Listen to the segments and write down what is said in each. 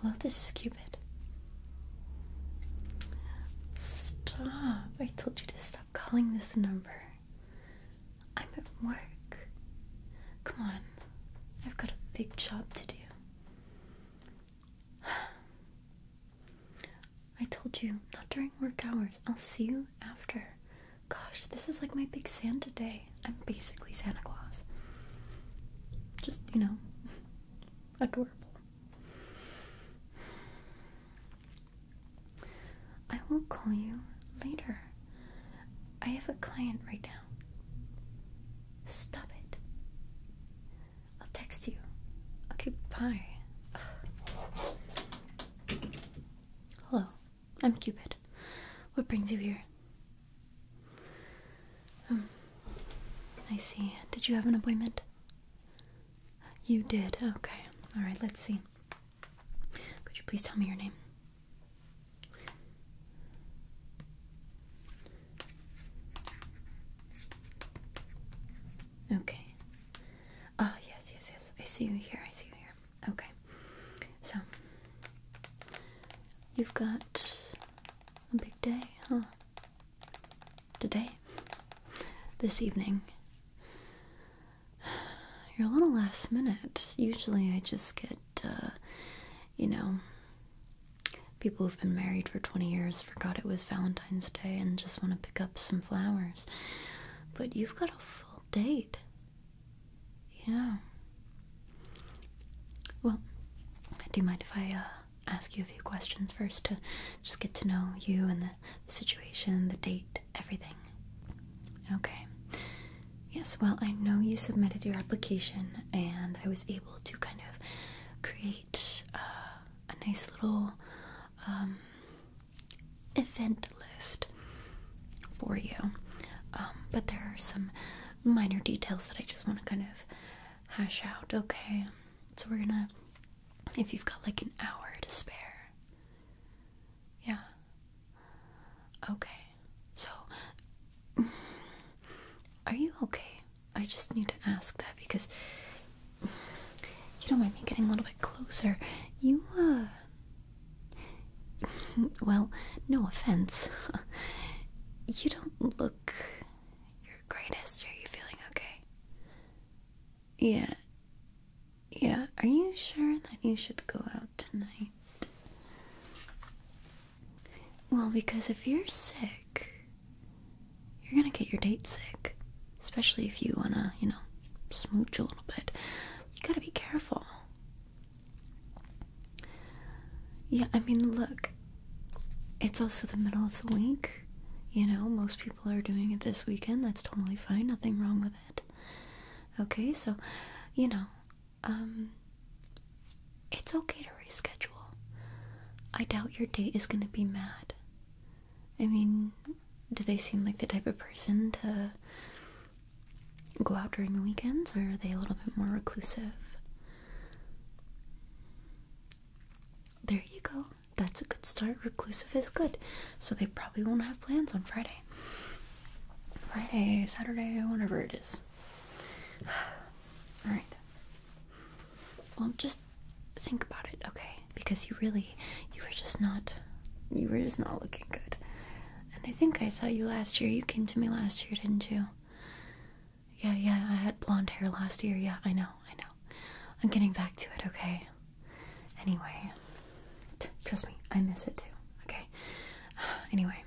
Hello, this is Cupid. Stop. I told you to stop calling this number. I'm at work. Come on. I've got a big job to do. I told you, not during work hours. I'll see you after. Gosh, this is like my big Santa day. I'm basically Santa Claus. Just, you know, adorable. I will call you later. I have a client right now. Stop it. I'll text you. Okay, bye. Hello. I'm Cupid. What brings you here? Um, I see. Did you have an appointment? You did. Okay. Alright, let's see. Could you please tell me your name? Okay. Ah, yes, yes, yes. I see you here. I see you here. Okay, so you've got a big day, huh? Today? This evening. You're a little last minute. Usually I just get, uh, you know, people who've been married for 20 years forgot it was Valentine's Day and just want to pick up some flowers. But you've got a full date. Yeah. Well, do you mind if I uh, ask you a few questions first to just get to know you and the, situation, the date, everything? Okay. Yes, well, I know you submitted your application, and I was able to kind of create uh, a nice little um, event list for you. Um, but there are some minor details that I just want to kind of hash out, okay? So we're gonna, if you've got like an hour to spare. Yeah. Okay. So, are you okay? I just need to ask that because you don't mind me getting a little bit closer. You, uh, well, no offense. you don't look your greatest. Are you feeling okay? Yeah. Yeah, are you sure that you should go out tonight? Well, because if you're sick, you're gonna get your date sick. Especially if you wanna, you know, smooch a little bit. You gotta be careful. Yeah, I mean, look, it's also the middle of the week. You know, most people are doing it this weekend. That's totally fine. Nothing wrong with it. Okay, so, you know, um, it's okay to reschedule. I doubt your date is gonna be mad. I mean, do they seem like the type of person to go out during the weekends, or are they a little bit more reclusive? There you go. That's a good start. Reclusive is good. So they probably won't have plans on Friday. Friday, Saturday, whatever it is. Alright. Well, just think about it, okay? Because you really you were just not you were just not looking good. And I think I saw you last year. You came to me last year, didn't you? Yeah, yeah, I had blonde hair last year. Yeah, I know, I know. I'm getting back to it, okay? Anyway, trust me, I miss it too, okay? Anyway,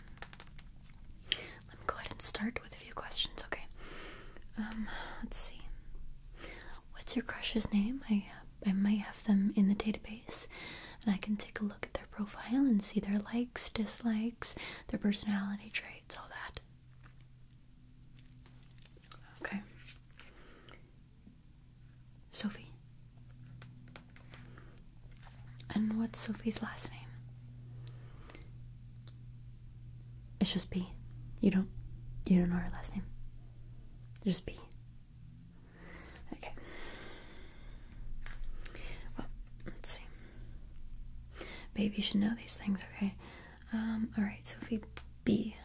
let me go ahead and start with a few questions, okay? Um, let's see. What's your crush's name? I I might them in the database and I can take a look at their profile and see their likes, dislikes, their personality traits, all that. Okay. Sophie. And what's Sophie's last name? It's just B. You don't you don't know her last name. Just B. Okay. Well, let's see. Babe, you should know these things, okay? Um, alright, Sophie B.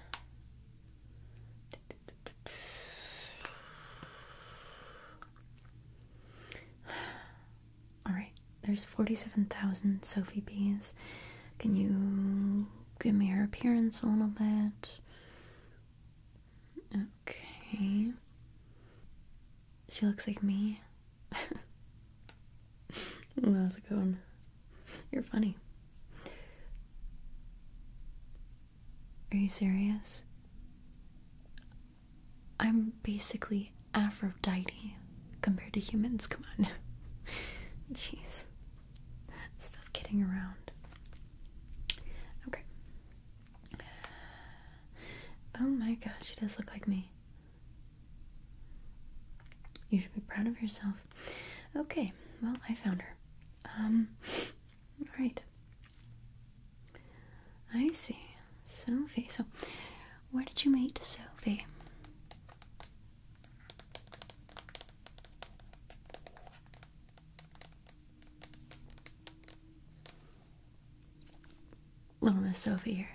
Alright, there's 47,000 Sophie B's. Can you give me her appearance a little bit? Okay. She looks like me. How's it going? You're funny. Are you serious? I'm basically Aphrodite compared to humans. Come on. Jeez. Stop kidding around. Okay. Oh my gosh, she does look like me. You should be proud of yourself. Okay, well, I found her. Um, alright. I see. Sophie. So, where did you meet Sophie? Little Miss Sophie here.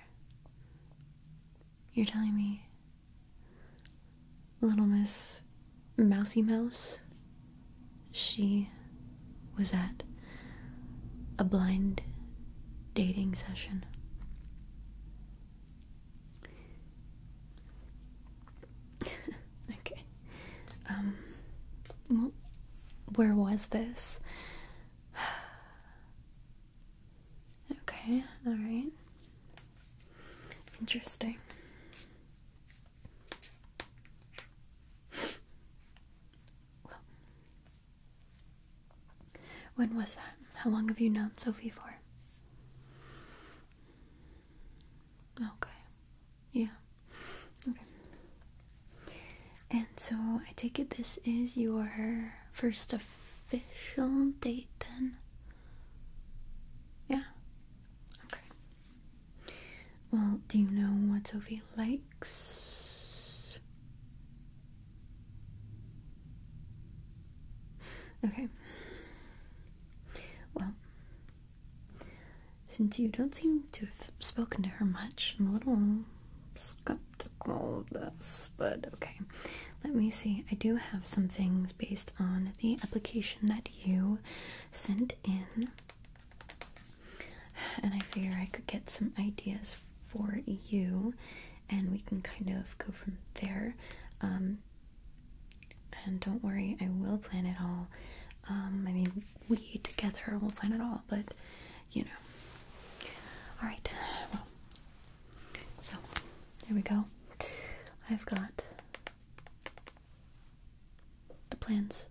You're telling me Little Miss Mousie Mouse? She was at a blind dating session. okay. Um, well, where was this? okay, alright. Interesting. Well, when was that? How long have you known Sophie for? Okay. Yeah. Okay. And so I take it this is your first official date then? Yeah. Okay. Well, do you know what Sophie likes? Okay. Well, since you don't seem to have spoken to her much, I'm a little skeptical of this, but okay. Let me see. I do have some things based on the application that you sent in, and I figure I could get some ideas for you, and we can kind of go from there. Um, and don't worry, I will plan it all um, I mean, we together we will plan it all, but you know. Alright, well, so here we go. I've got the plans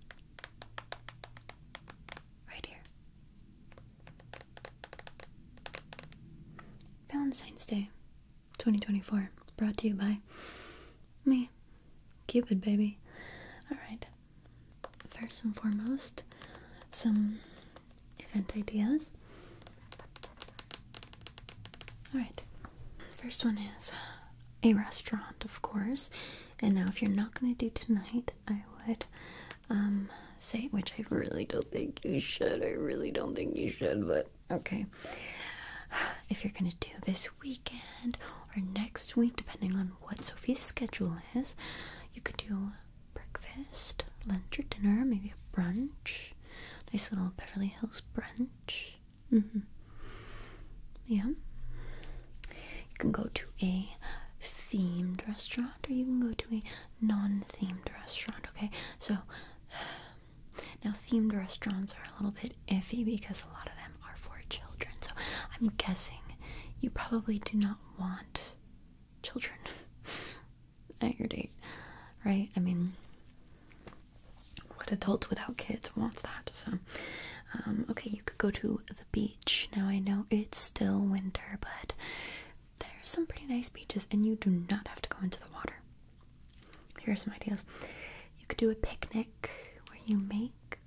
right here. Valentine's Day 2024, brought to you by me. Cupid, baby. Alright. First and foremost, some event ideas. Alright. First one is a restaurant, of course. And now, if you're not going to do tonight, I would um, say, which I really don't think you should. I really don't think you should, but okay. If you're going to do this weekend or next week, depending on what Sophie's schedule is. You could do breakfast, lunch, or dinner, maybe a brunch. Nice little Beverly Hills brunch. Mm-hmm. Yeah. You can go to a themed restaurant or you can go to a non themed restaurant, okay? So, now themed restaurants are a little bit iffy because a lot of them them are for children. So I'm guessing you probably do not want children at your date, right? I mean, what adult without kids wants that? So, um, okay, you could go to the beach. Now I know it's still winter, but there are some pretty nice beaches, and you do not have to go into the water. Here are some ideas. You could do a picnic where you make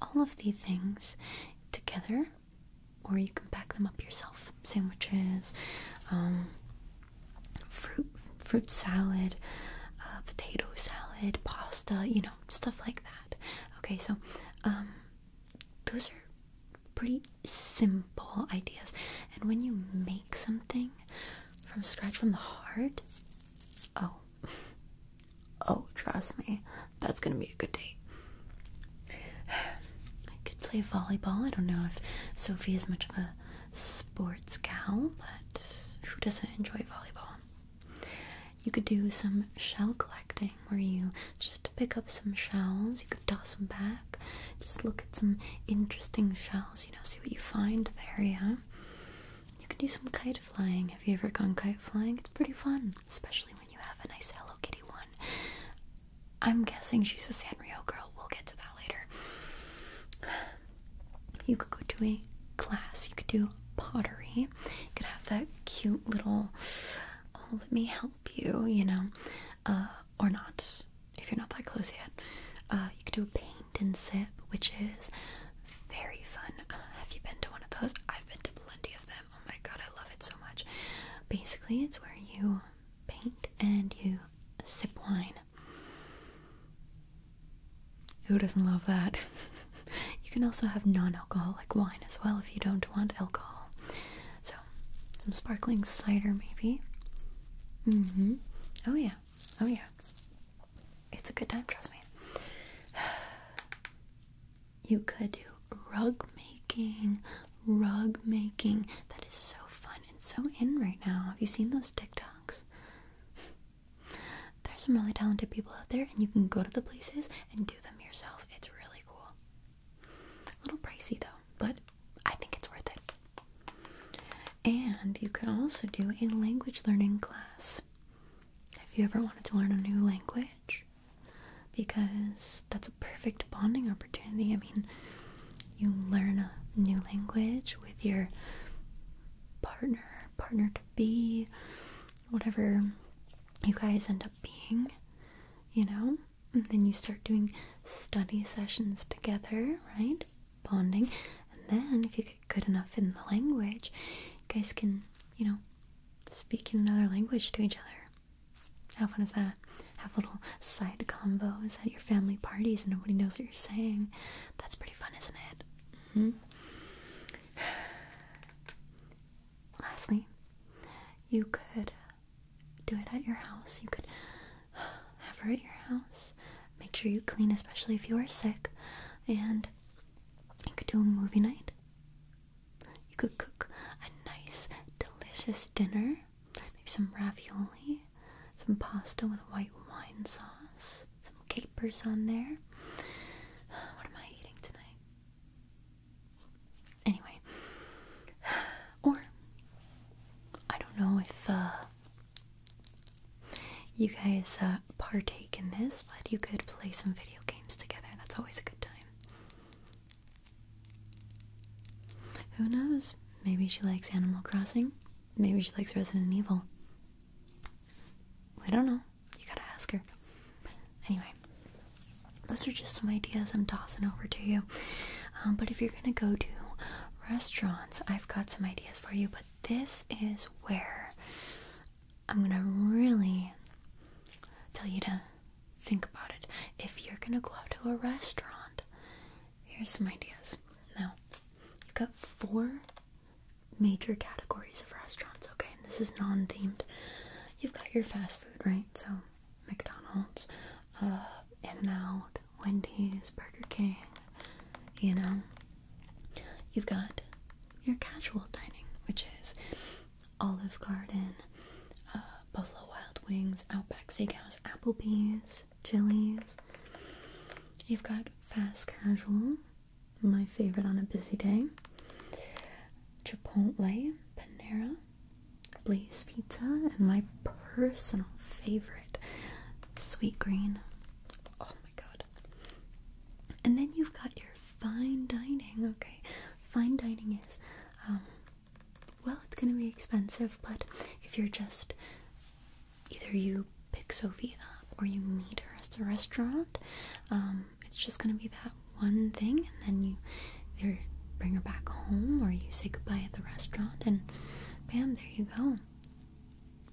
all of these things together, or you can pack them up yourself. Sandwiches, um, fruit, fruit salad, uh, potato salad, pasta, you know, stuff like that. Okay, so um, those are pretty simple ideas. And when you make something from scratch from the heart, oh, Oh, trust me, that's gonna be a good date. I could play volleyball. I don't know if Sophie is much of a sports gal, but who doesn't enjoy volleyball? You could do some shell collecting where you just pick up some shells, you could toss them back, just look at some interesting shells, you know, see what you find there, yeah? You can do some kite flying. Have you ever gone kite flying? It's pretty fun, especially when you have a nice Hello Kitty one. I'm guessing she's a Sanrio girl. We'll get to that later. You could go to a class. You could do pottery. You could have that cute little, oh, let me help you, you know, uh, or not if you're not that close yet. Uh, you could do a paint and sip, which is very fun. Uh, have you been to one of those? I've been to plenty of them. Oh my god, I love it so much. Basically, it's where you paint and you sip wine. Who doesn't love that? you can also have non alcoholic wine as well if you don't want alcohol. So, some sparkling cider maybe. Mm hmm. Oh yeah. Oh yeah. It's a good time, trust me. You could do rug making, rug making. That is so fun and so in right now. Have you seen those TikToks? There's some really talented people out there, and you can go to the places and do them yourself. It's really cool. A little pricey though, but I think it's worth it. And you could also do a language learning class. Have you ever wanted to learn a new language? Because that's a perfect bonding opportunity. I mean, you learn a new language with your partner, partner to be, whatever you guys end up being, you know? And then you start doing study sessions together, right? Bonding. And then, if you good enough in the language, guys can, you know, speak in another language to each other. How fun is that? Have little side combos at your family parties and nobody knows what you're saying. That's pretty fun, isn't it? -hmm. Lastly, you could do it at your house. You could have her at your house. Make sure you clean, especially if you are sick. And you could do a movie night. You could cook a nice, delicious dinner. Maybe some ravioli, some pasta with white wine sauce, some capers on there. What am I eating tonight? Anyway, or I don't know if uh, you guys uh, partake in this, but you could play some video games together. That's always a good time. Who knows? Maybe she likes Animal Crossing. Maybe she likes Resident Evil. I don't know. You gotta ask her. Anyway, those are just some ideas I'm tossing over to you. Um, but if you're gonna go to restaurants, I've got some ideas for you. But this is where I'm gonna really tell you to think about it. If you're gonna go out to a restaurant, here's some ideas. Now, you've got four major categories of restaurants, okay? And this is non themed. You've got your fast food, right? So, McDonald's, uh, In N Out, Wendy's, Burger King, you know, You've got your casual dining, which is Olive Garden, uh, Buffalo Wild Wings, Outback Steakhouse, Applebee's, Chili's. You've got fast casual, my favorite on a busy day, Chipotle, Panera, Blaze Pizza, and my personal favorite, Sweet Green. Oh, Oh and then you've got your fine dining, okay? Fine dining is, um, well, it's gonna be expensive, but if you're just either you pick Sophie up or you meet her at the restaurant, um, it's just gonna be that one thing, and then you either bring her back home or you say goodbye at the restaurant, and bam, there you go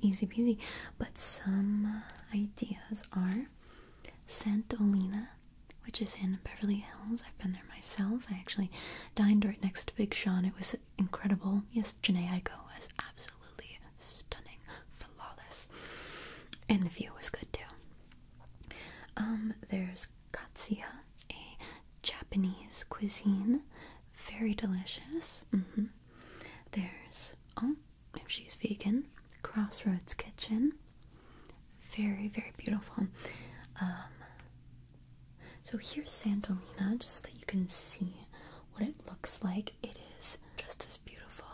easy peasy. But some ideas are Santa Olena, which is in Beverly Hills. I've been there myself. I actually dined right next to Big Sean. It was incredible. Yes, Janae go as absolutely stunning, flawless, and the view was good too. Um, there's Katsuya, a Japanese cuisine, very delicious. Mm -hmm. There's oh, if she's vegan, Crossroads Kitchen. Very, very beautiful. Um, so here's Santolina, just that you can see what it looks like. It is just as beautiful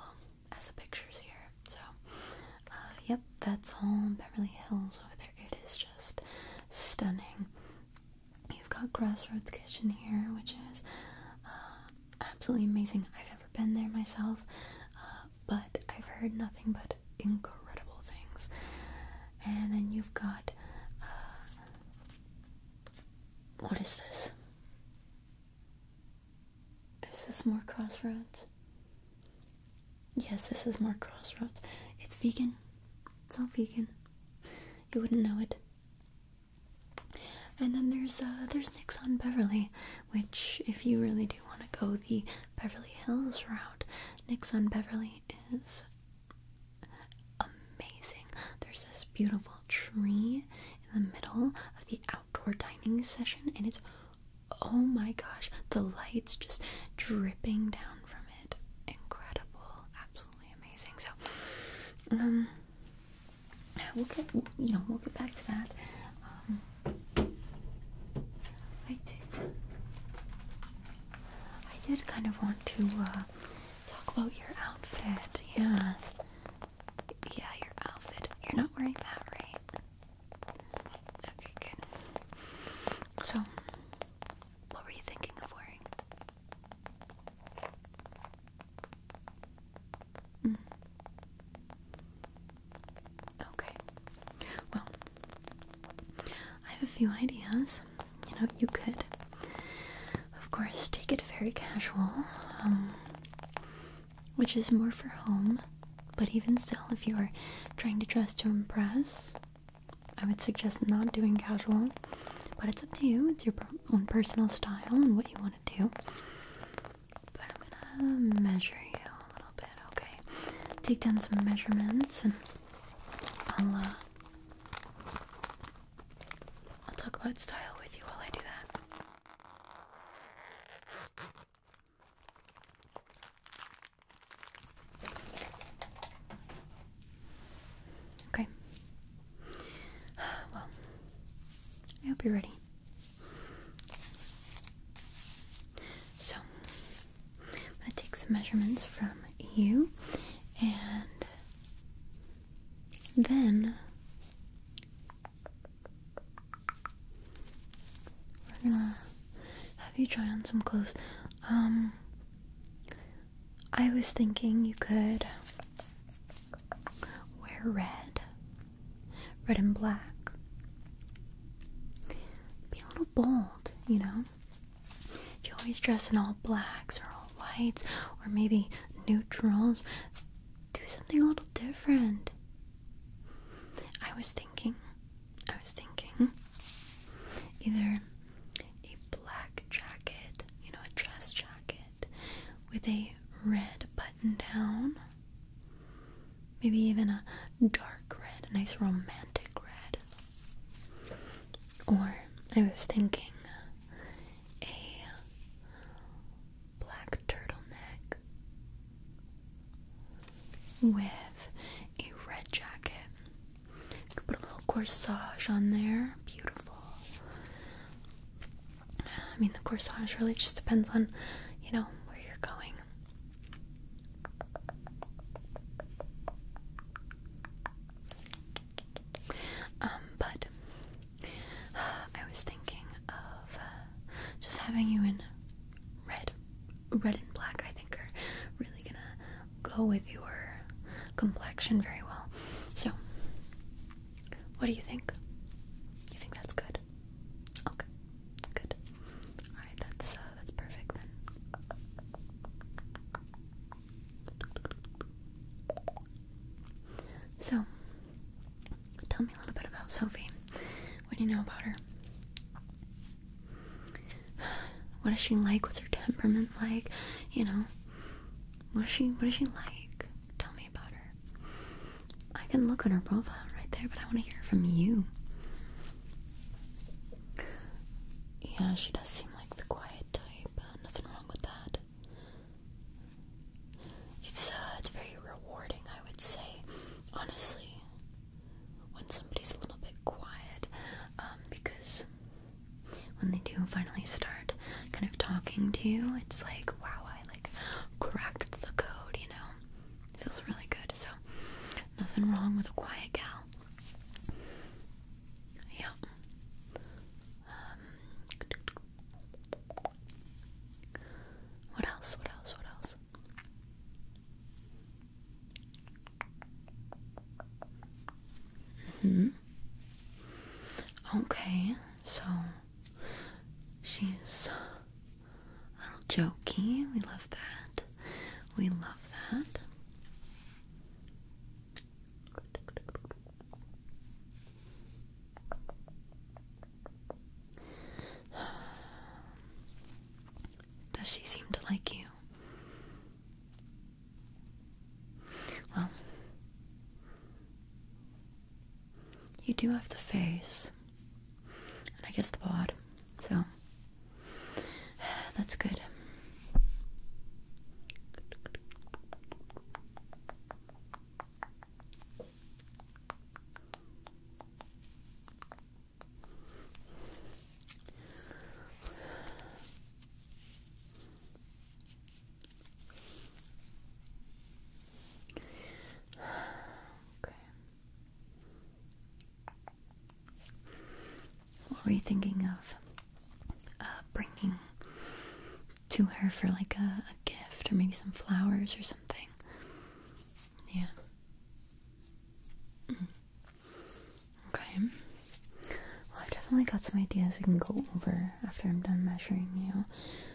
as the pictures here. So, uh, yep, that's all Beverly Hills over there. It is just stunning. You've got Crossroads Kitchen here, which is uh, absolutely amazing. I've never been there myself, uh, but I've heard nothing but incredible things. And then you've got uh, what is this? Is this more crossroads? Yes, this is more crossroads. It's vegan. It's all vegan. You wouldn't know it. And then there's uh, there's Nixon Beverly, which if you really do want to go the Beverly Hills route, Nixon Beverly is amazing. There's this beautiful tree in the middle of the outdoor dining session, and it's oh my gosh, the lights just dripping down from it. Incredible, absolutely amazing. So, um, we'll get you know we'll get back to that. Um, I did I did kind of want to uh, talk about your outfit. Yeah, yeah, your outfit. You're not wearing that, right? Okay, good. So, what were you thinking of wearing? Mm. Okay. Well, I have a few ideas. You know, you could, of course, take it very casual, um, which is more for home. But even still, if you are trying to dress to impress, I would suggest not doing casual. But it's up to you. It's your own personal style and what you want to do. But I'm gonna measure you a little bit, okay? Take down some measurements and I'll, uh, I'll talk about style with you while I do that. Okay. Well, I hope you're ready. So, I'm going to take some measurements from you and then we're gonna have you try on some clothes. Um, I was thinking you could Wear red, red and black. Be a little bold, you know? If you always dress in all blacks or all whites or maybe neutrals, do something a little different. I was thinking, I was thinking either a black jacket, you know, a dress jacket with a red button down. Maybe even a dark red, a nice romantic red. Or I was thinking a black turtleneck with a red jacket. could put a little corsage on there. Beautiful. I mean, the corsage really just depends on, you know, where you're going. Um, but I was thinking of uh, just having you in red, red and black. I think are really gonna go with your complexion very well. So what do you think? You think that's good? Okay, good. All right, that's uh, that's perfect then. So, tell me a little bit about Sophie. What do you know about her? What is she like? What's her temperament like? You know, what is she? What is she like? Tell me about her. I can look at her profile right there, but I want to hear from you. Yeah, she does seem like the quiet type. Uh, nothing wrong with that. It's uh, it's very rewarding, I would say, honestly, when somebody's a little bit quiet, um, because when they do finally start kind of talking to you, it's like, wow, like cracked the code, you know. feels really good. So nothing wrong with a quiet gal. Yeah. Um, what else? What else? What else? hmm. Okay, so She's a little jokey. We love that. We love that. Does she seem to like you? Well, you do have the face, and I guess the bod, so that's good okay. What were you thinking of uh, bringing to her for like a, gift or maybe some flowers or something? Yeah. Mm. Okay. I've definitely got some ideas we can go over after I'm done measuring you.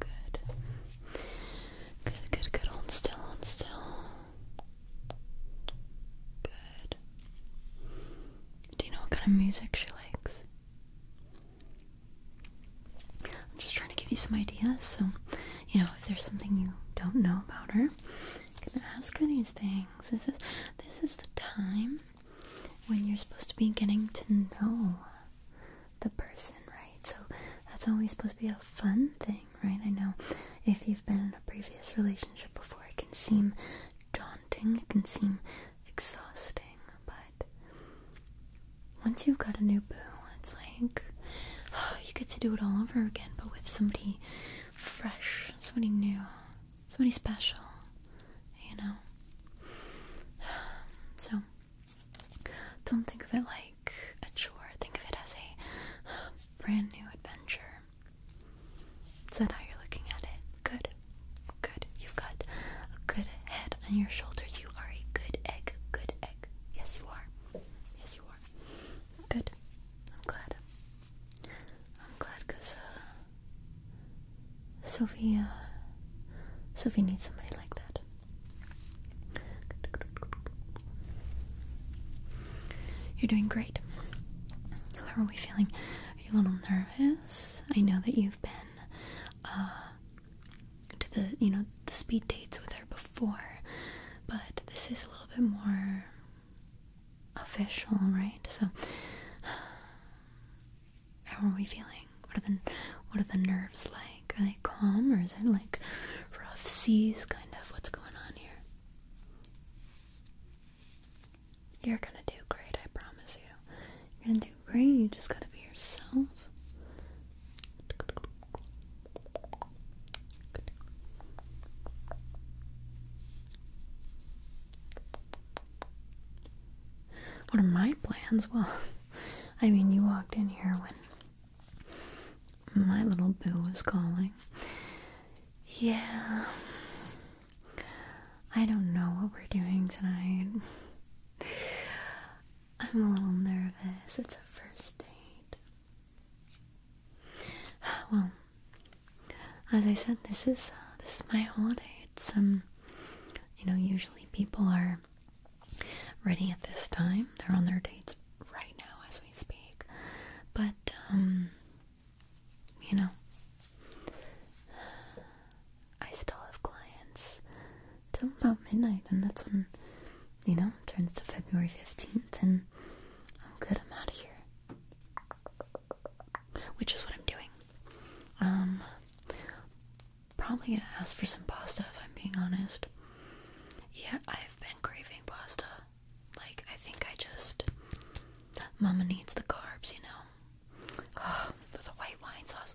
Good. Good, good, good. Hold still, still. Good. Do you know what kind of music she likes? I'm just trying to give you some ideas, so you know if there's something you don't know about her, you can ask her these things. This is this is the time when you're supposed to be getting to know the person, right? So that's always supposed to be a fun thing, right? I know if you've been in a previous relationship before, it can seem daunting, it can seem exhausting, but once you've got a new boo, it's like you get to do it all over again, but with somebody fresh, somebody new, somebody special, you know? So don't think of it like a chore. Think of it as a brand new adventure. Is that how you're looking at it? Good. Good. You've got a good head on your shoulders. You are a good egg. Good egg. Yes, you are. Yes, you are. Good. I'm glad. I'm glad because uh, Sophie, uh, Sophie needs somebody like that. You're doing great. How are we feeling? Are you a little nervous? I know that you've been uh, to the you know the speed dates with her before, but this is a little bit more official, right? So, how are we feeling? What are the what are the nerves like? Are they calm or is it like rough seas kind of what's going on here? You're gonna do great, I promise you. You're gonna do great, you just gotta be yourself. What are my plans? Well, I mean, you walked in here when my little boo is calling. Yeah. I don't know what we're doing tonight. I'm a little nervous. It's a first date. Well, as I said, this is uh, this is my holiday. It's um, you know, usually people are ready at this time. They're on their dates right now as we speak. But, um, you know, I still have clients till about midnight, and that's when, you know, turns to February 15th, and I'm good, I'm out of here. Which is what I'm doing. Um, probably gonna ask for some pasta if I'm being honest. Yeah, I've been craving pasta. Like, I think I just. Mama needs the carbs, you know? Oh, the white wine sauce.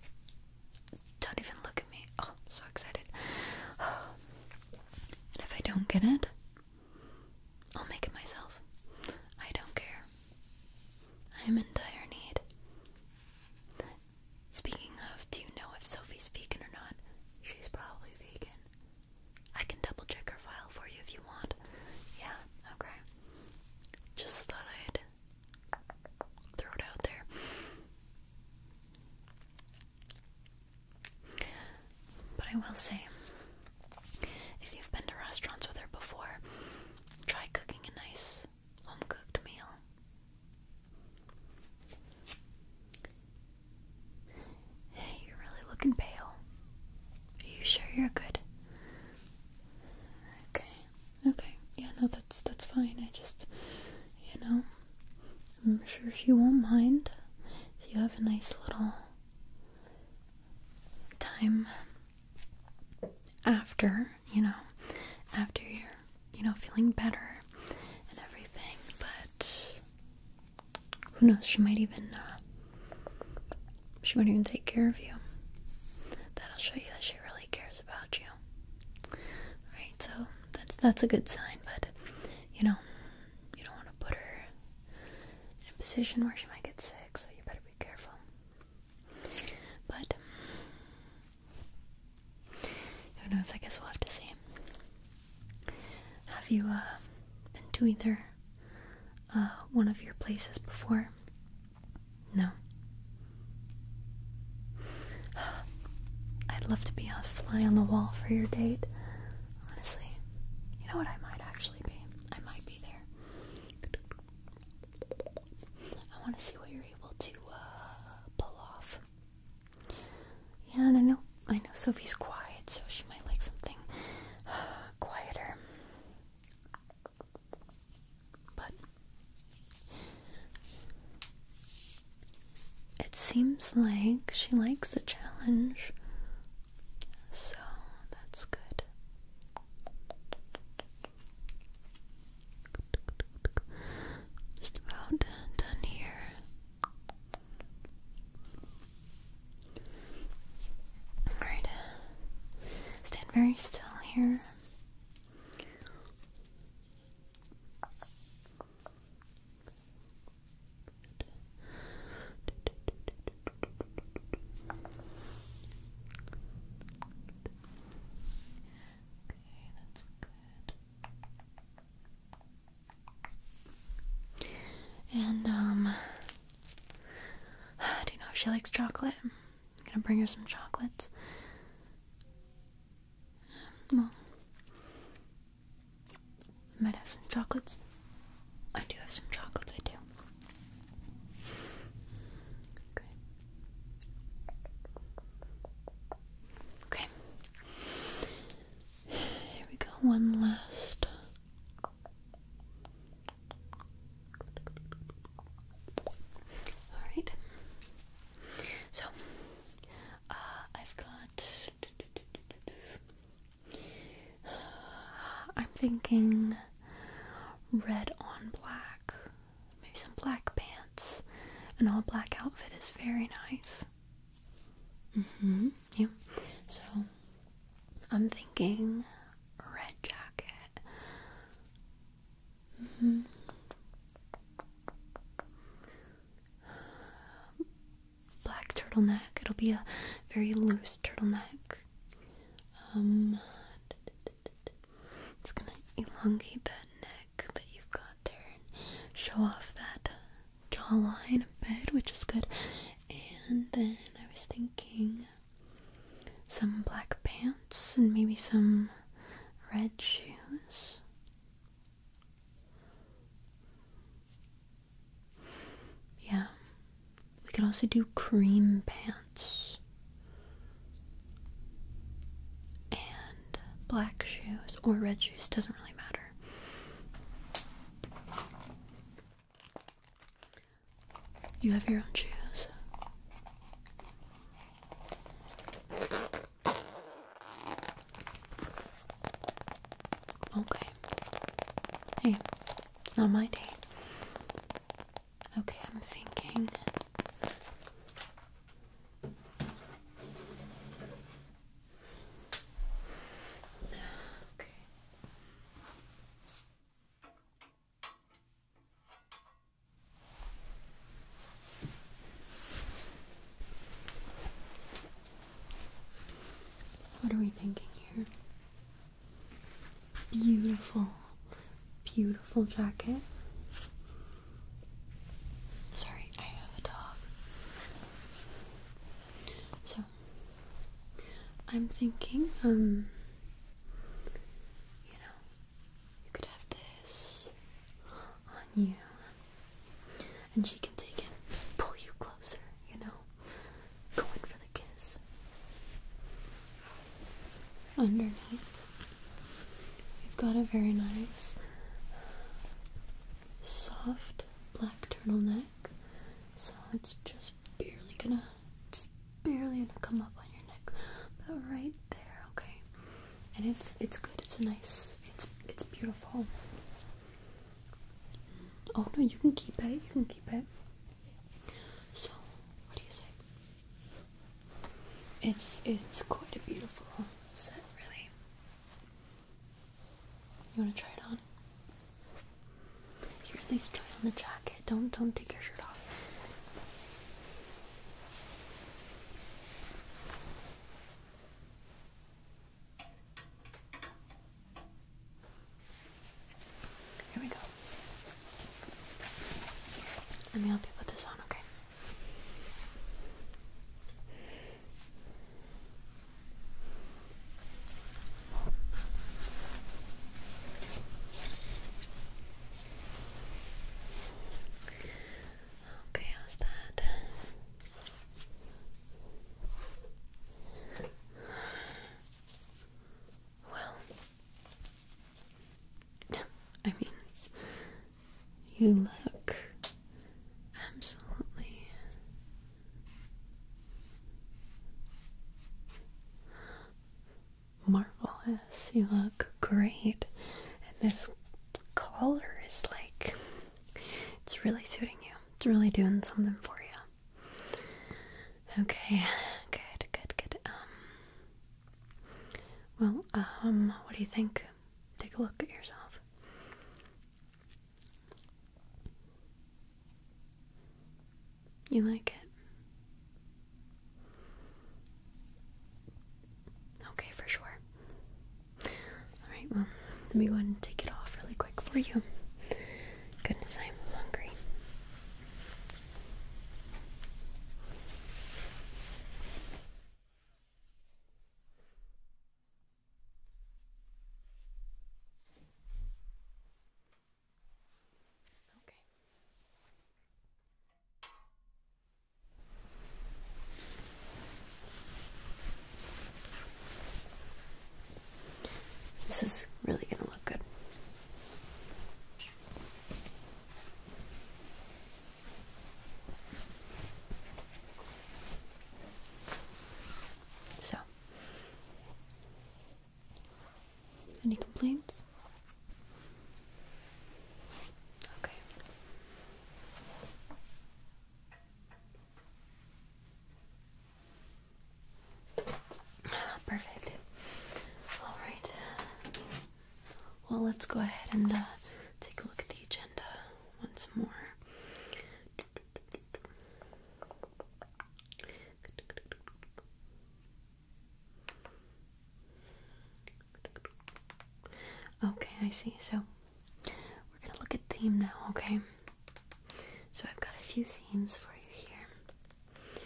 Don't even look at me. Oh, I'm so excited. And if I don't get it, I'll make it myself. I don't care. I'm in dire need. Speaking of, do you know if Sophie's vegan or not? She's probably vegan. I can double check her file for you if you want. Yeah, okay. Just thought I'd throw it out there. But I will say, if you've been to restaurants with her before, try cooking a nice home cooked meal. Hey, you're really looking pale. Are you sure you're good? Okay. Okay. Yeah, no, that's that's fine. I just you know I'm sure she won't mind if you have a nice little time after, you know, after your you know, feeling better and everything, but who knows, she might even, uh, she might even take care of you. That'll show you that she really cares about you. Right, so that's, that's a good sign, but, you know, you don't want to put her in a position where she might get sick, so you better be careful. But who knows? I guess we'll have to see. Have you uh, been to either uh, one of your places before? No. I'd love to be a fly on the wall for your date. Honestly, you know what? I might actually be. I might be there. I want to see what you're able to uh, pull off. Yeah, and I know I know Sophie's quiet, so she might like something quieter. But it seems like she likes the challenge. So that's good. Just about done here. Alright. Uh, stand very still here. Okay, that's good. And, um, I do you know if she likes chocolate? I'm gonna bring her some chocolates. Well, I might have some chocolates. I do have some chocolates, I do. Okay. Okay. Here we go, one last. Alright. So, uh, I've got. I'm thinking red on black maybe some black pants. An all black outfit is very nice. Mm-hmm. Yeah. So I'm thinking red jacket. Mm-hmm. Black turtleneck. It'll be a very loose turtleneck. Um, it's gonna elongate that neck that you've got there show off that uh, jawline a bit, which is good. And then I was thinking some black pants and maybe some red shoes. Yeah. We could also do cream pants black shoes or red shoes, doesn't really matter. You have your own shoes. Okay. Hey, it's not my day. Okay, I'm thinking. What are we thinking here? Beautiful, beautiful jacket. Sorry, I have a dog. So, I'm thinking, um, you know, you could have this on you, and she can take it, pull you closer, you know, go for the kiss underneath. We've got a very nice, soft black turtleneck, so it's just barely gonna, just barely gonna come up on your neck, but right there, okay. And it's it's good. It's a nice. It's it's beautiful. Oh no, you can keep it. You can keep it. So, what do you say? It's it's quite a beautiful set, really. You wanna try it on? You're at least try on the jacket. Don't don't take your shirt off. Here we go. Let me help you put this on, okay? Okay, how's that? Well, I mean, you look absolutely marvelous. You look great. And this color is like, it's really suiting you. It's really doing something for you. Okay, good, good, good. Um, well, um, what do you think? take a look at yourself. You like it? Okay, for sure. Alright, well, let me go and take it off really quick for you. Goodness, I'm hungry. Okay. This is really going to look good. So, any complaints? Okay. Ah, perfect. All right. Well, let's go ahead and uh, take a look at the agenda once more. Okay, I see. So we're gonna look at theme now, okay? So I've got a few themes for you here.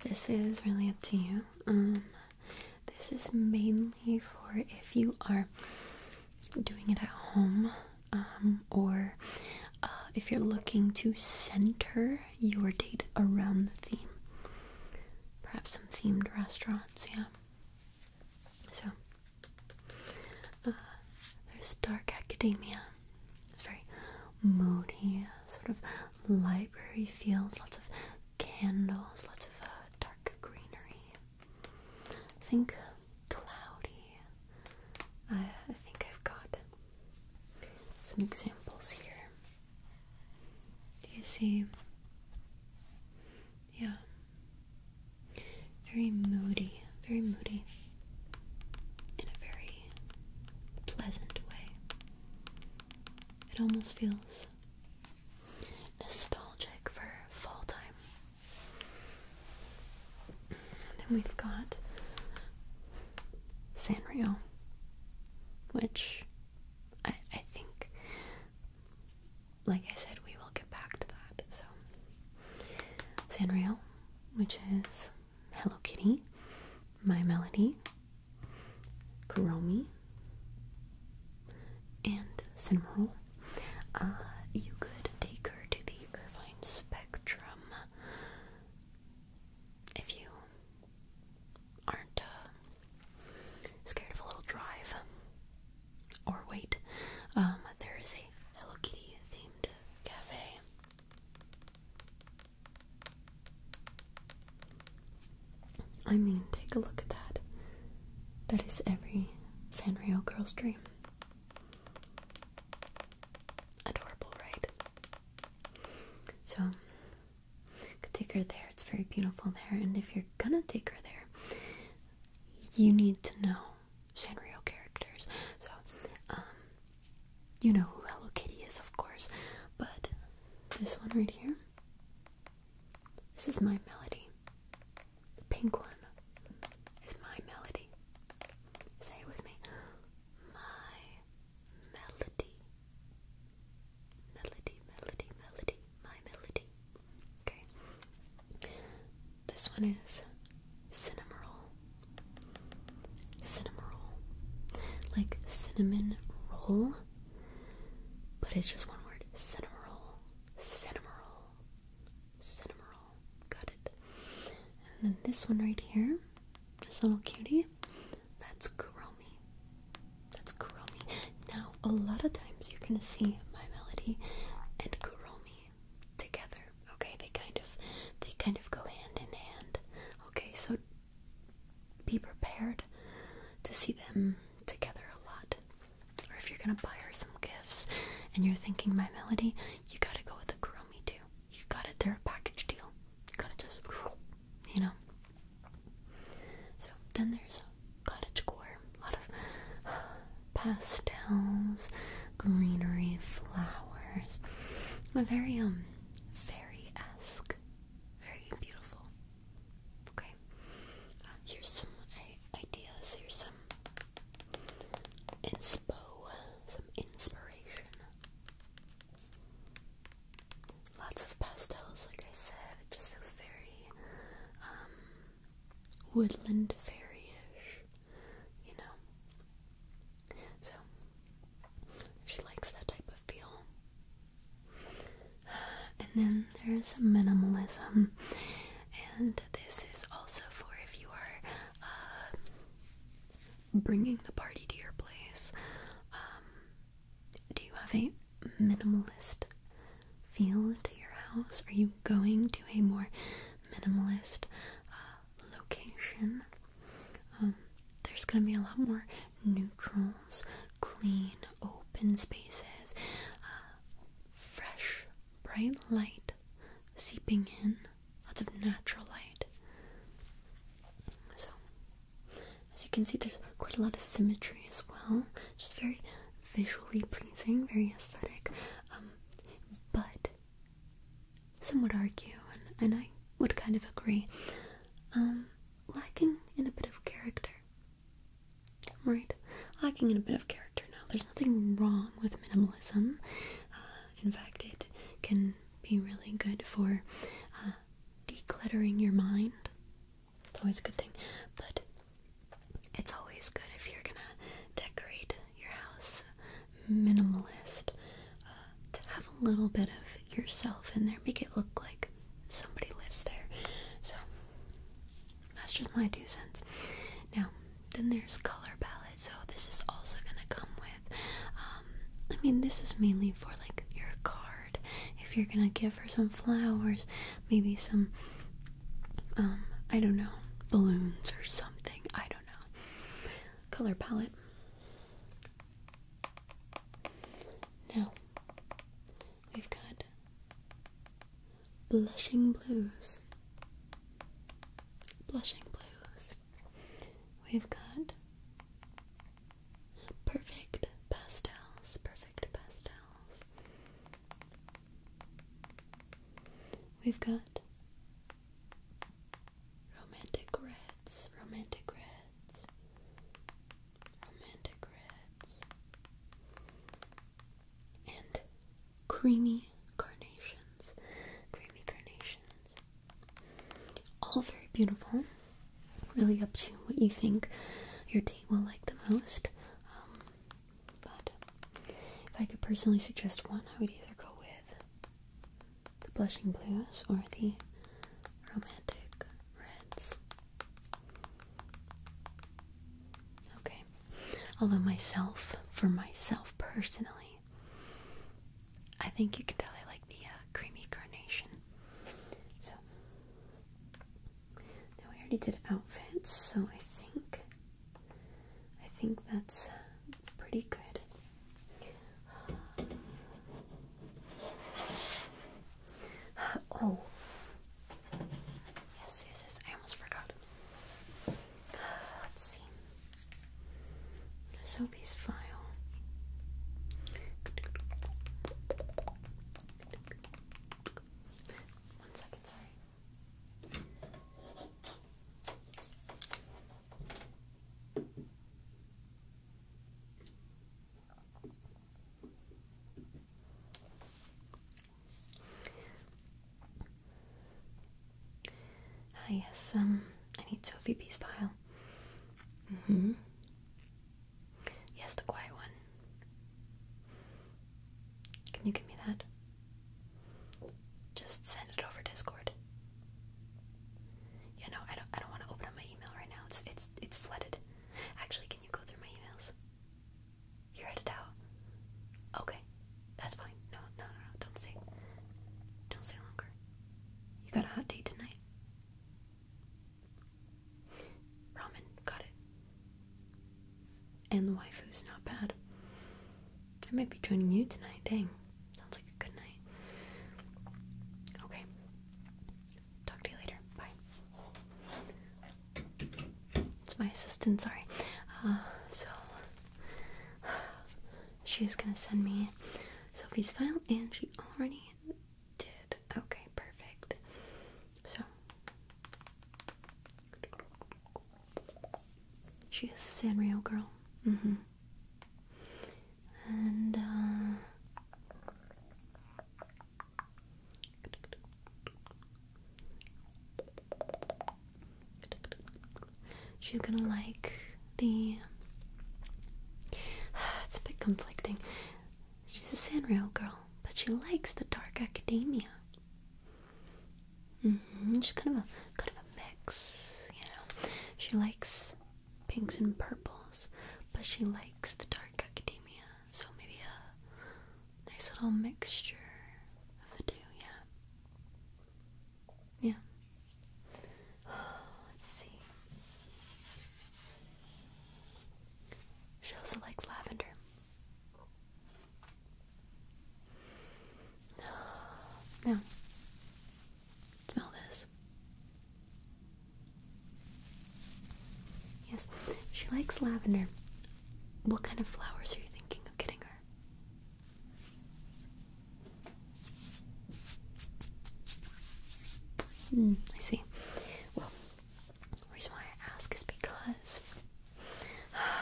This is really up to you. Um, this is mainly for if you are doing it at home um, or uh, if you're looking to center your date around the theme. Perhaps some themed restaurants, yeah. So, uh, there's Dark Academia. It's very moody, sort of library feels, lots of candles, lots of uh, dark greenery. I think cloudy. I think I've got some examples here. Do you see? Yeah. Very moody, very moody in a very pleasant way. It almost feels nostalgic for fall time. Then we've got Sanrio, which I, think, like I said, we will get back to that. So, Sanrio, which is Hello Kitty, My Melody, Kuromi, and cinnamon Uh, you could take her to the Irvine Spectrum if you aren't uh, scared of a little drive or wait. Um, there is a Hello Kitty themed cafe. I mean, take a look at that. That is every Sanrio girl's dream. Adorable, right? So, take her there. It's very beautiful there. And if you're gonna take her there, you need to know Sanrio characters. So, um, you know who Hello Kitty is, of course, but this one right here. This is my melody. The pink one is my melody. Say it with me. My melody. Melody, melody, melody, my melody. Okay. This one is cinnamon roll. Cinnamon roll. Like cinnamon roll. But it's just one word. Cinnamon roll. Cinnamon roll. Cinnamon Got it. And then this one right here, this little cutie, that's Kuromi. That's Kuromi. Now, a lot of times you're gonna see My Melody and Kuromi together. Okay, they kind of they kind of go hand in hand. Okay, so be prepared to see them together a lot. Or if you're gonna buy her some gifts and you're thinking my melody, you gotta go with a Kuromi too. You got it, they're a package deal. You gotta just, you know. So then there's cottage core, a lot of pastels, greenery, flowers. Very um fairy esque, very beautiful. Okay. Uh, here's some ideas. Here's some inspo, some inspiration. Lots of pastels, like I said. It just feels very um, woodland fairyish, you know. So she likes that type of feel. And then there's minimalism, and this is also for if you are uh, bringing the party to your place. Um, do you have a minimalist feel to your house? Are you going to a more minimalist uh, location? Um, there's going to be a lot more neutrals, clean, open spaces, uh, fresh, bright light seeping in, lots of natural light. So, as you can see, there's quite a lot of symmetry as well, just very visually pleasing, very aesthetic. Um, but some would argue, and, I would kind of agree, um, lacking in a bit of character. Right, lacking in a bit of character now. There's nothing wrong with minimalism. Uh, in fact, it can be really good for uh, decluttering your mind. It's always a good thing, but it's always good if you're gonna decorate your house minimalist uh, to have a little bit of yourself in there, make it look like somebody lives there. So, that's just my two cents. Now, then there's color palette. So this is also gonna come with. Um, I mean, this is mainly for like your card. If you're gonna give her some flowers, maybe some. Um, I don't know, balloons or something. I don't know. Color palette. Now, We've got Blushing Blues. Blushing Blues. We've got Perfect Pastels. Perfect Pastels. We've got Romantic Reds. Romantic Reds. Romantic Reds and creamy carnations. Creamy carnations. All very beautiful. Really up to what you think your date will like the most. Um, but if I could personally suggest one, I would either go with the blushing blues or the romantic reds. Okay, Although myself, for myself personally, I think you can tell I like the uh, creamy carnation. So now we already did outfits, so I think I think that's uh, pretty good. oh, Yes, yes, yes. I almost forgot. let's see. Soapy's file. One second, sorry. Ah, yes, um, I need Sophie B's pile. hmm. Yes, the quiet one. Can you give me that? Just send it over Discord. Yeah, no, I don't. I don't want to open up my email right now. It's it's it's flooded. Actually, can you go through my emails? You read it out? Okay. That's fine. No, no, no, Don't stay. Don't stay longer. You got a hot date tonight? Ramen. Got it. And the waifu's not bad. I might be joining you tonight. Dang. Sounds like a good night. Okay. Talk to you later. Bye. It's my assistant, sorry. Uh, so, she's gonna send me Sophie's file, and she already did. Okay, perfect. So, she is a Sanrio girl. Mm-hmm. And, uh, She's gonna like the. It's a bit conflicting. She's a Sanrio girl, but she likes the dark academia. Mm -hmm. She's kind of a kind of a mix, you know. She likes pinks and purples, but she likes the dark academia. So maybe a nice little mixture of the two, yeah. Yeah. let's see. She also likes lavender. Now, smell this. Yes, she likes lavender. What kind of flowers are you thinking of getting her? Hmm, I see. Well, the reason why I ask is because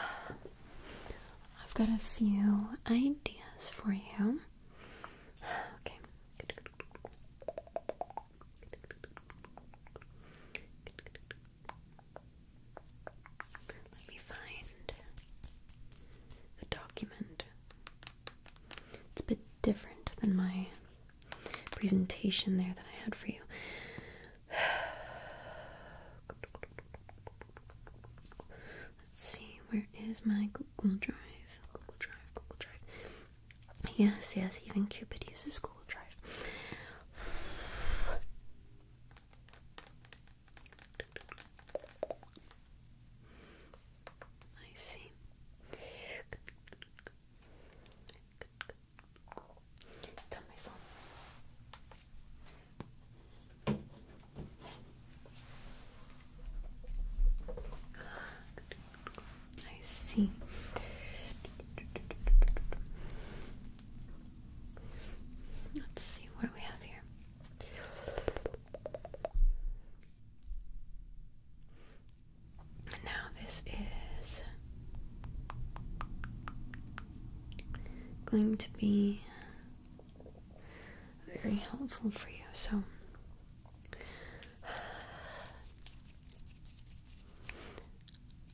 I've got a few ideas for you. Okay. Let me find the document. It's a bit different than my presentation there that I had for you. Let's see, where is my Google Drive? Google Drive, Google Drive. Yes, yes, even Cupid uses Google Drive. I see. I see. Let's see what we have here. And now this is going to be very helpful for you. So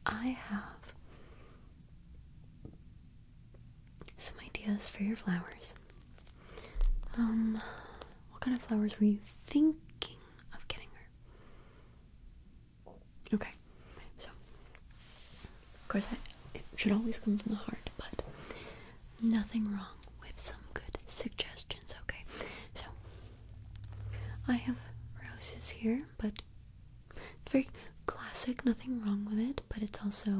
I have some ideas for your flowers. Um, what kind of flowers were you thinking of getting her? Okay, so of course, it should always come from the heart, but nothing wrong with some good suggestions, okay? So, I have roses here, but it's very classic, nothing wrong with it, but it's also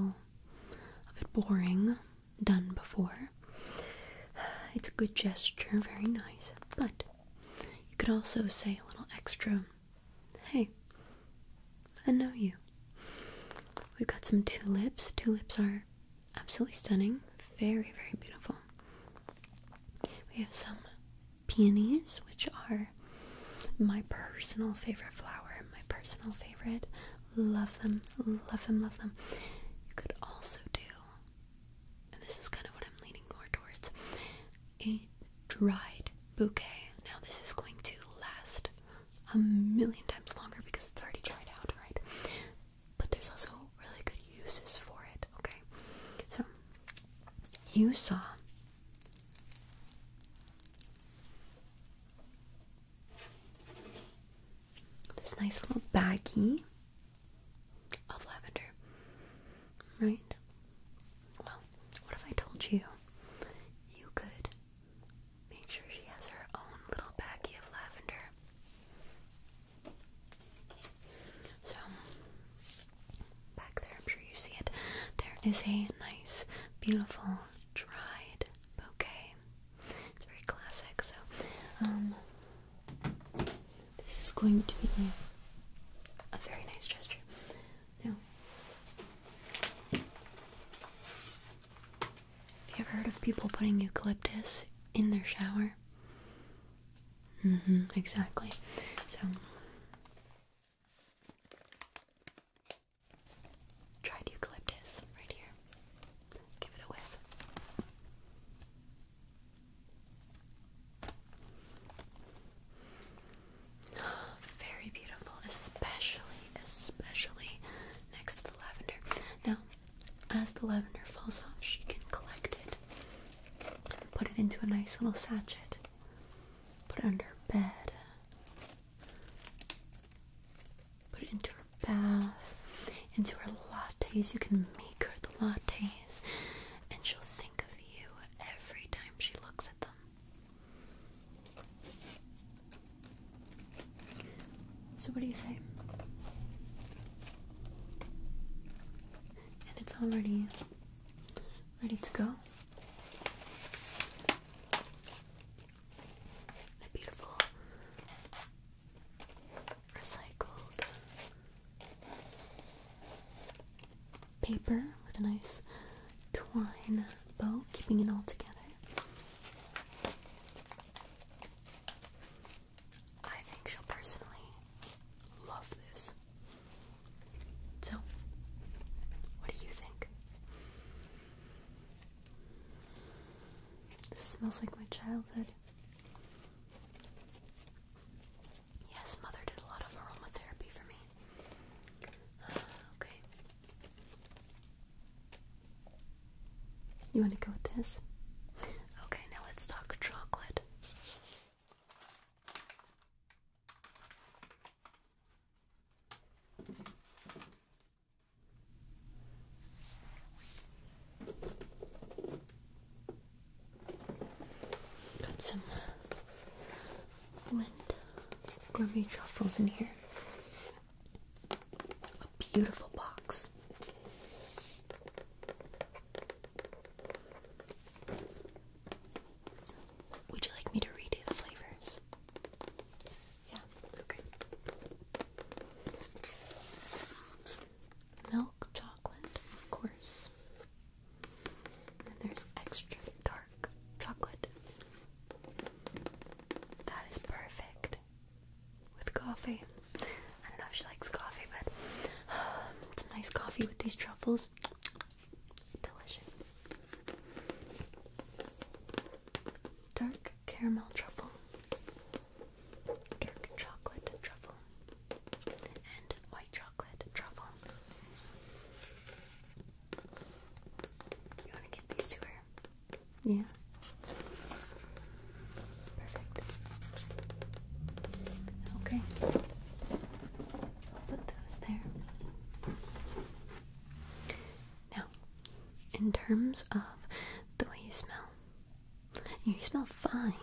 a bit boring, done before. It's a good gesture, very nice, but you could also say a little extra hey, I know you. We've got some tulips. Tulips are absolutely stunning, very, very beautiful. We have some peonies, which are my personal favorite flower, my personal favorite. Love them, love them, love them. You could also do, and this is kind of what I'm leaning more towards, a dried bouquet. Now, this is going to last a million times longer because it's already dried out, right? But there's also really good uses for it, okay? So, you saw this nice little baggie of lavender, right? Well, what if I told you you could make sure she has her own little baggie of lavender? So, Back there, I'm sure you see it. There is a nice, beautiful, dried bouquet. It's very classic, so um, this is going to be a very nice gesture. Now, have you ever heard of people putting eucalyptus in their shower? Mm-hmm, exactly. So Dried eucalyptus right here. Give it a whiff. Very beautiful, especially, especially next to the lavender. Now, as the lavender falls off, she can collect it and put it into a nice little sachet put it under her bed, put it into her bath, into her lattes. You can make her the lattes, and she'll think of you every time she looks at them. So, what do you say? And it's already ready to go. A beautiful recycled paper with a nice twine bow, keeping it all together. I think she'll personally love this. So, what do you think? This smells like my childhood. Yes, mother did a lot of aromatherapy for me. Ah, okay. You want to go with this? Okay, now let's talk chocolate. Got some wind gourmet truffles in here. A beautiful box. Would you like me to redo the flavors? Yeah, okay. Milk chocolate, of course. Then there's extra dark chocolate. That is perfect with coffee. I don't know if she likes coffee, but um, nice coffee with these truffles. Delicious. Dark caramel truffle. Dark chocolate truffle. And white chocolate truffle. You want to get these to her? Yeah. Perfect. Okay. I'll put those there. Now, in terms of the way you smell, you smell fine,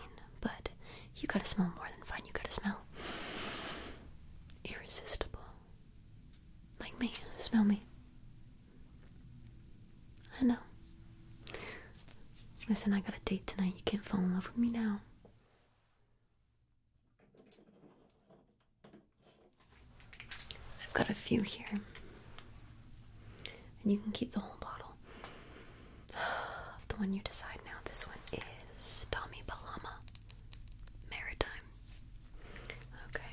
but you gotta smell more than fine. You gotta smell irresistible. Like me. Smell me. I know. Listen, I got a date tonight. You can't fall in love with me now. I've got a few here, and you can keep the whole bottle. the one you decide now. This one is Tommy Palama Maritime. Okay,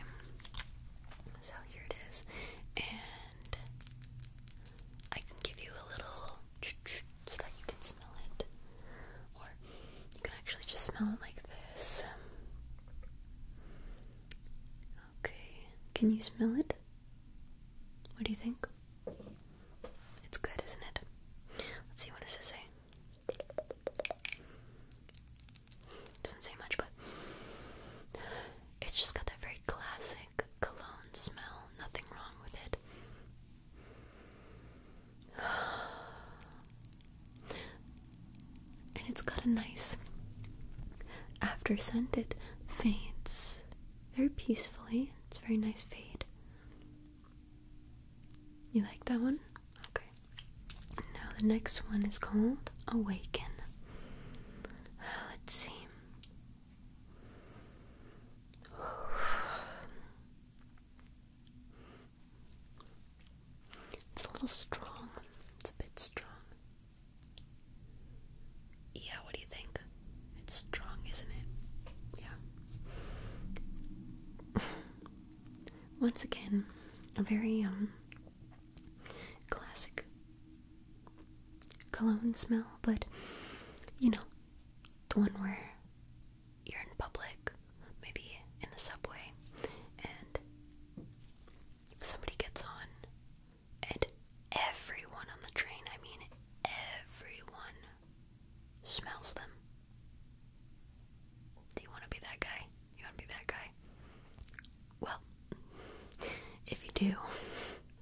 so here it is, and I can give you a little so that you can smell it. Or you can actually just smell it like this. Okay, can you smell it? What do you think? It's good, isn't it? Let's see what does it say. Doesn't say much, but it's just got that very classic cologne smell. Nothing wrong with it. And it's got a nice after scent. It fades very peacefully. It's a very nice fade. You like that one? Okay. Now the next one is called Awaken. Let's see. It's a little strong. It's a bit strong. Yeah, what do you think? It's strong, isn't it? Yeah. Once again, a very um classic cologne smell, but you know, the one where you're in public, maybe in the subway, and somebody gets on, and everyone on the train, I mean everyone, smells them. Do you want to be that guy? You want to be that guy? Well, if you do,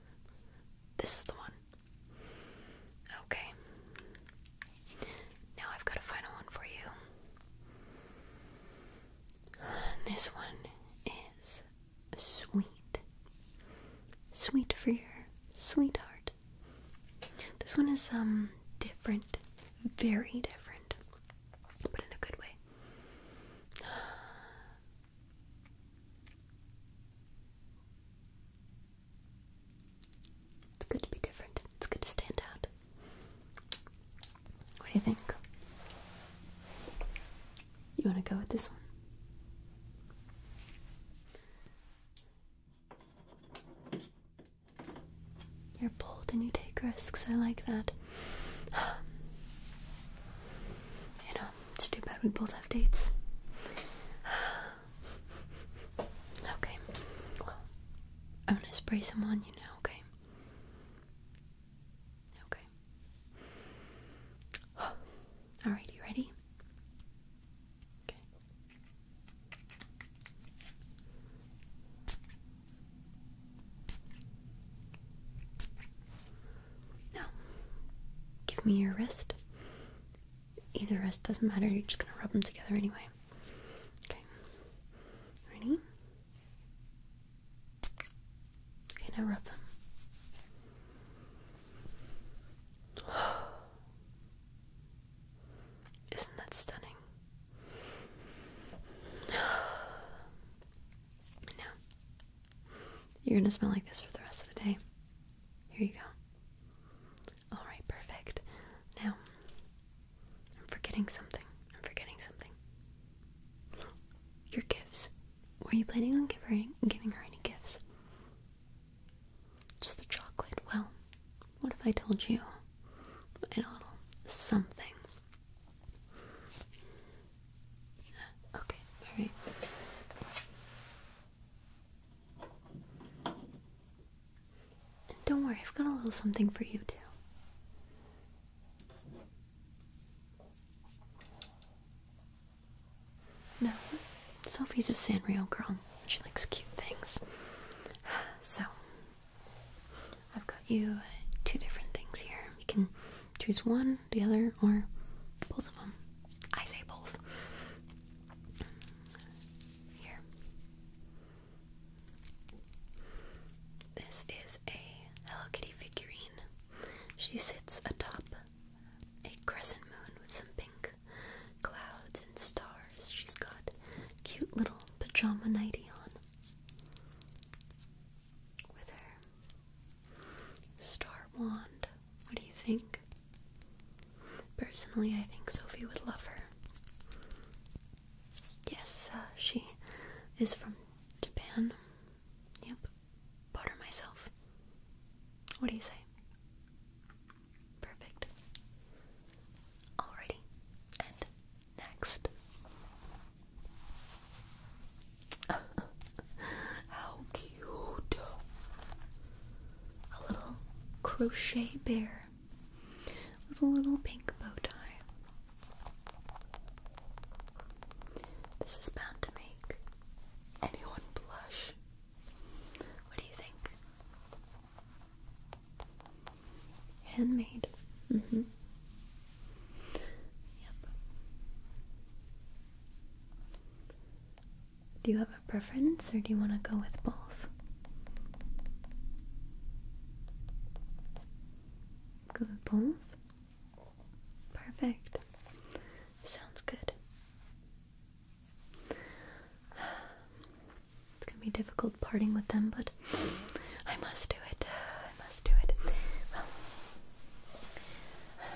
this is the one. Okay. Now I've got a final one for you. This one is sweet. Sweet for your sweetheart. This one is um different, very different, but in a good way. It's good to be different. It's good to stand out. What do you think? You want to go with this one? You're bold and you take risks. I like that. You know, it's too bad we both have dates. Okay. Well, I'm gonna spray some on you now, okay? Okay. Alright, you ready? Okay. Now, give me your wrist. Either wrist doesn't matter, you're just gonna rub them together anyway. Okay. Ready? Okay, now rub them. Isn't that stunning? Now, you're gonna smell like this for the rest of the day. Here you go. Alright, perfect. Now, I'm forgetting something. I'm forgetting something. Your gifts. Were you planning on giving, giving her any gifts? Just the chocolate. Well, what if I told you a little something? Okay, alright. And don't worry, I've got a little something for you too. No, Sophie's a Sanrio girl. She likes cute things. So, I've got you two different things here. You can choose one, the other, or both of them. I say both. Here. This is a Hello Kitty figurine. She sits atop a crescent moon with some pink clouds and stars. She's got cute little pajama nightie on with her star wand. What do you think? Personally, I think Sophie would love her. Yes, uh, she is from Japan. Yep. Bought myself. What do you say? Perfect. Alrighty. And next. How cute! A little crochet bear with a little pink bow tie. This is bound to make anyone blush. What do you think? Handmade. Mm-hmm. Yep. Do you have have a preference or do you want to go with both? Go with both? Perfect. Sounds good. It's gonna be difficult parting with them, but I must do it. I must do it. Well,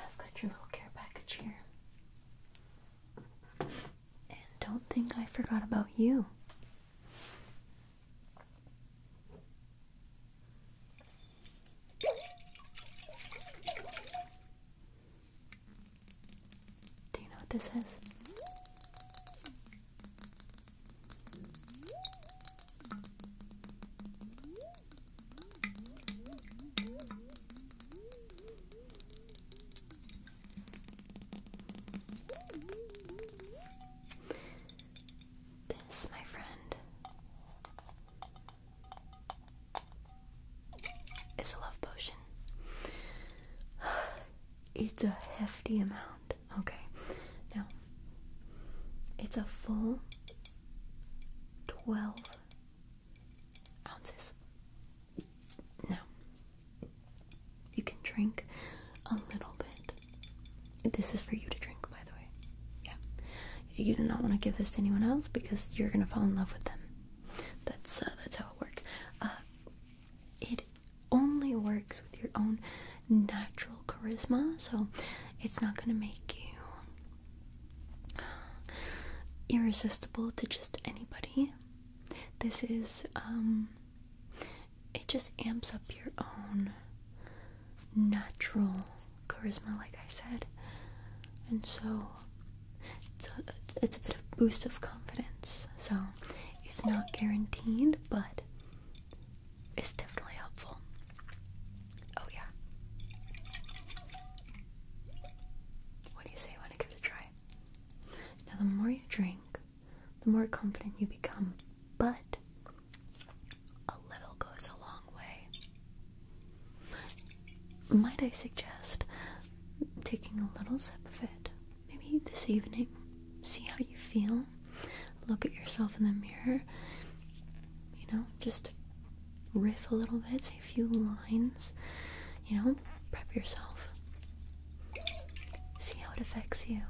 I've got your little care package here. And don't think I forgot about you. Do you know what this is? This, my friend, is a love potion. It's a hefty amount. Okay, now it's a full 12 ounces. Now, you can drink a little bit. This is for you to drink, by the way. Yeah. You do not want to give this to anyone else because you're gonna fall in love with them. That's uh, that's how it works. Uh, it only works with your own natural charisma, so it's not gonna make you uh, irresistible to just anybody. This is um, it just amps up your own natural charisma, like I said. And so it's a, bit of boost of confidence. So it's not guaranteed, but it's definitely helpful. Oh, yeah. What do you say? Want to give it a try? Now, the more you drink, the more confident you become. But a little goes a long way. Might I suggest taking a little sip of it? Maybe this evening. See how you feel. Look at yourself in the mirror. You know, just riff a little bit, say a few lines you know, prep yourself. See how it affects you.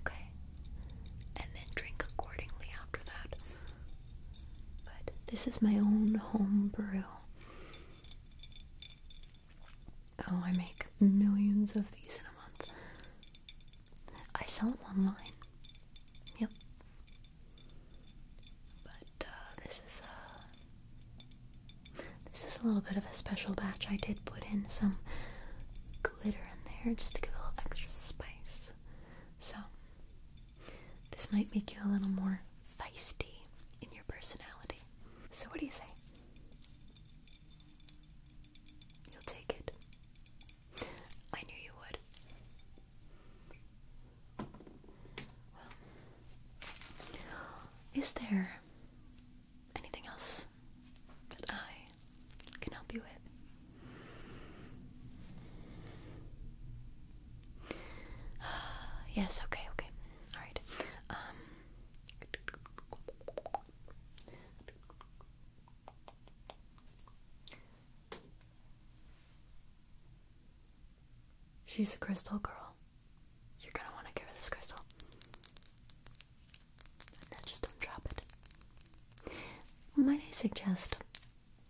Okay. And then drink accordingly after that. But this is my own home brew. Oh, I make millions of these in a month. I sell them online. Yep. But uh, this is uh, this is a little bit of a special batch. I did put in some glitter in there just to give a little extra spice. So, this might make you a little more feisty in your personality. So, what do you say? You'll take it. I knew you would. is there anything else that I can help you with? yes, okay, okay. Alright. Um, She's a crystal girl. You're gonna want to get rid this crystal. And just don't drop it. Might I suggest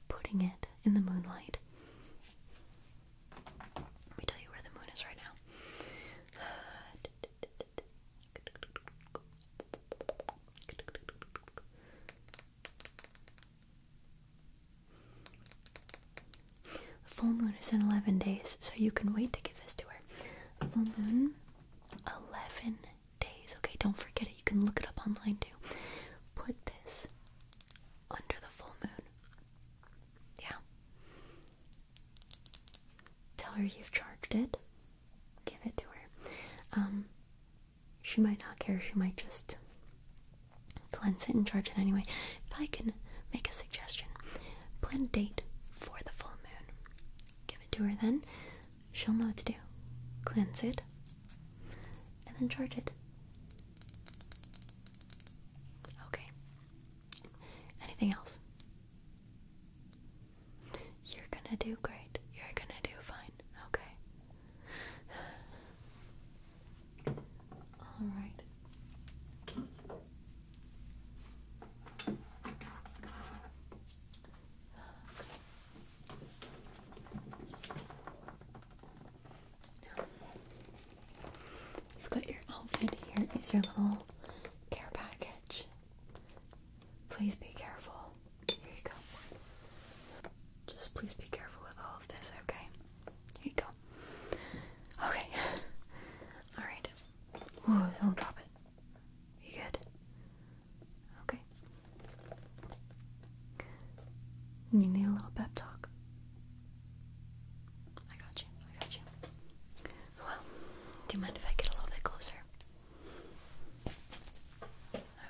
putting it in the moonlight? Let me tell you where the moon is right now. The full moon is in 11 days, so you can wait to give this to her. Full moon, 11 days. Okay, don't forget it. You can look it up online too. Put this under the full moon. Yeah. Tell her you've charged it. Give it to her. Um, she might not care. She might just cleanse it and charge it anyway. If I can make a suggestion, Plan a date for the full moon. Give it to her then. She'll know what to do. Cleanse it. And then charge it. Okay. Anything else? You're gonna do great. You're gonna do fine. Okay. Alright. You've got your outfit. Here is your little care package. Please be careful. Here you go. Just please be careful with all of this, okay? Here you go. Okay. Alright. Ooh, don't drop it. You good? Okay. You need a little pep talk. I got you. I got you. Well, do you mind if I get a little bit closer?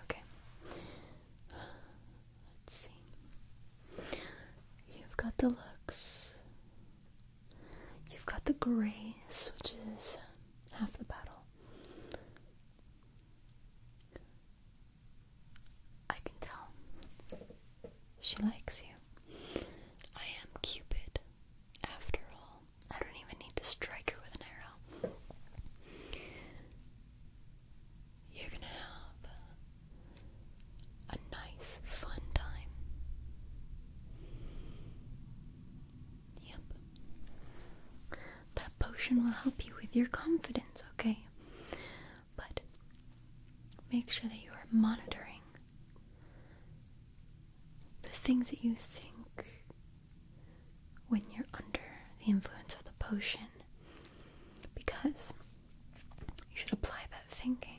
Okay. Let's see. You've got the looks. You've got the grace, which is half the battle. I can tell. She likes you. I am Cupid, after all. I don't even need to strike her with an arrow. You're gonna have a nice, fun time. Yep. That potion will help you with your confidence, okay? But make sure that you are monitoring the things that you think when you're under the influence of the potion because you should apply that thinking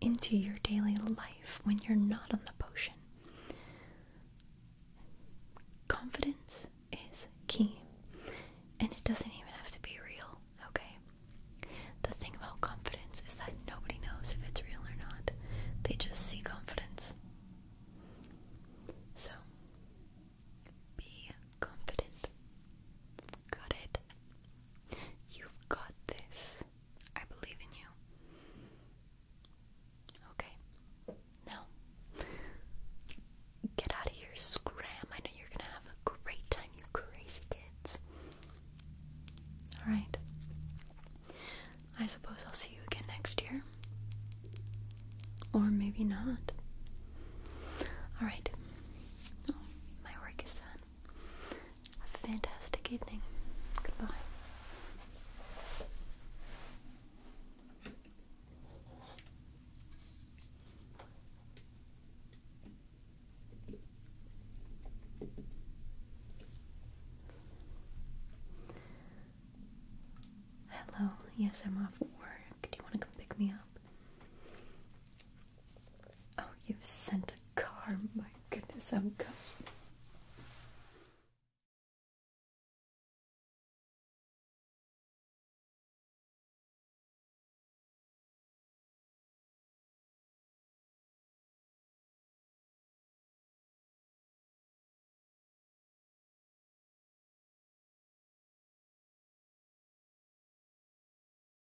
into your daily life when you're not on the potion. Confidence is key, and it doesn't even have to be real, okay? The thing about confidence is that nobody knows if it's real or not, they just see confidence. So, be confident. Got it? You've got this. I believe in you. Okay. Now, get out of here, scram. I know you're gonna have a great time, you crazy kids. Alright. I suppose I'll see you again next year. Or maybe not. Alright. Oh, my work is done a fantastic evening. Goodbye. Hello, yes, I'm off work. Do you want to come pick me up? Oh, you've sent a car. My goodness, I'm coming.